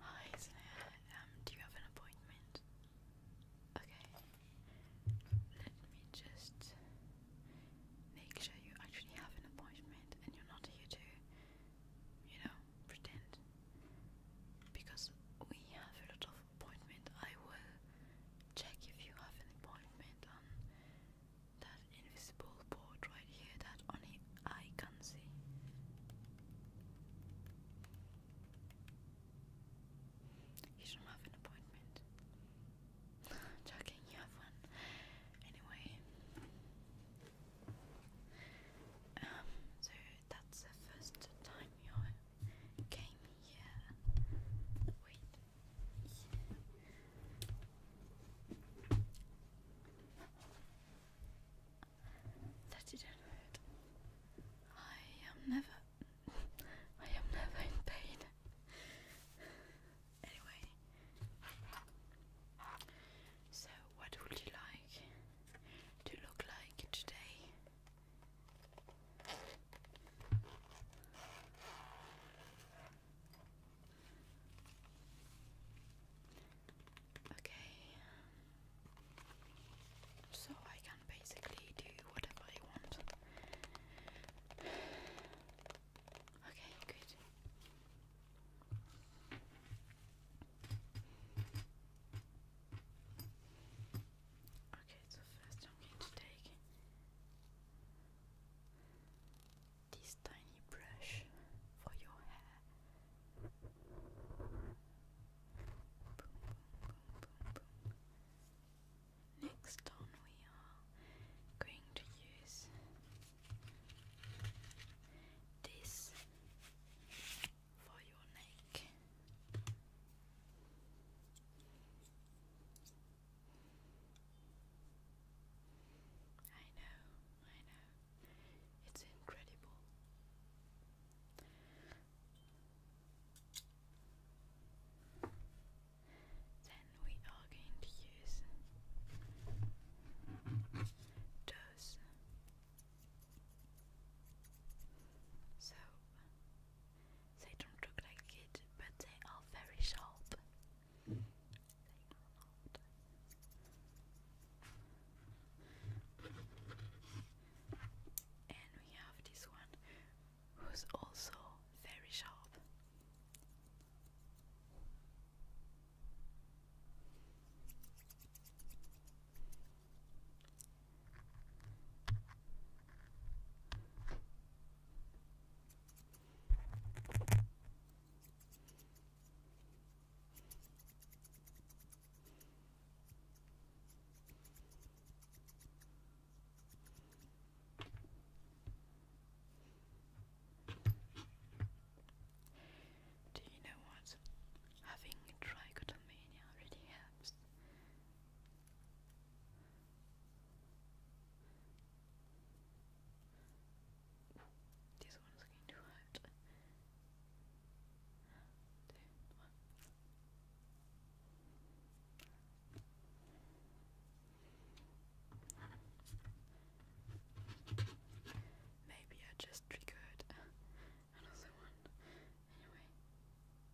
Hi, Um, do you have an appointment? Okay. Let me just make sure you actually have an appointment and you're not here to, you know, pretend. Because we have a lot of appointment, I will check if you have an appointment on that invisible board right here that only I can see. You don't have an appointment. Joking, you have one. Anyway, um, so that's the first time you came here. Wait, that it don't hurt. I am never I am never in pain. Anyway So what would you like to look like today? Okay, so I can basically do whatever I want. Okay, good. Okay, so first I'm going to take this tiny brush for your hair. Boom, boom, boom, boom, boom. Next on, we are going to use this for your neck. I know, I know. It's incredible. Then we are going to use those. So they don't look like it, but they are very sharp. And we have this one who's also very sharp. Do you know what? Having trichotomania really helps. This one is too hot. Two, one. Maybe I just triggered another one. Anyway,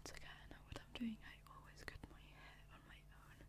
It's okay, I know what I'm doing. I always cut my hair on my own.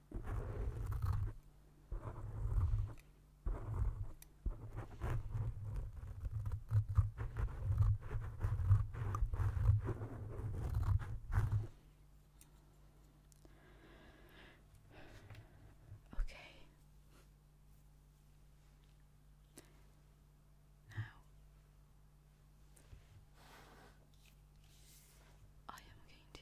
Okay. Now I am going to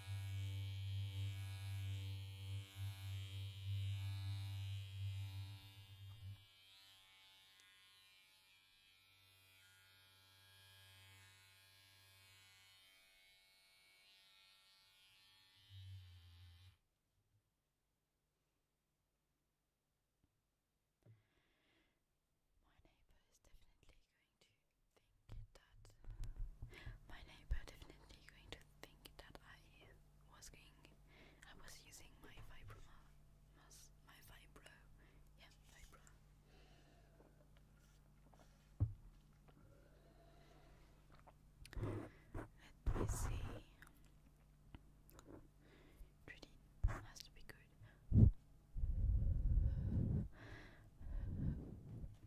My neighbour is definitely going going to think that my neighbor definitely going to think that I was going I was using my fibro my fibro let me see Reading has to be good.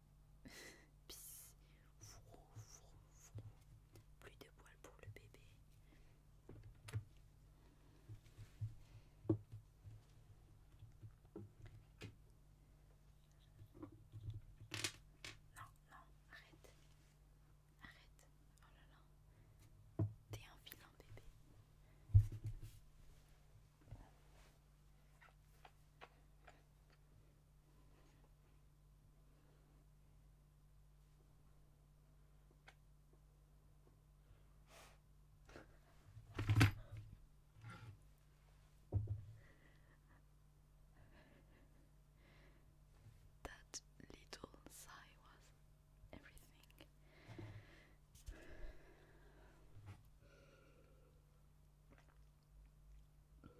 Plus de poils pour le bébé. Non, non, arrête. Arrête. Oh là là. T'es un vilain bébé. That little sigh was everything. Anyway,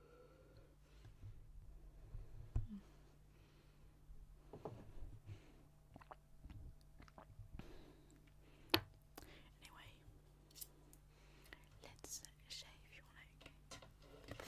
let's shave your neck.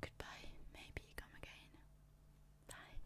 Goodbye, maybe come again. Bye.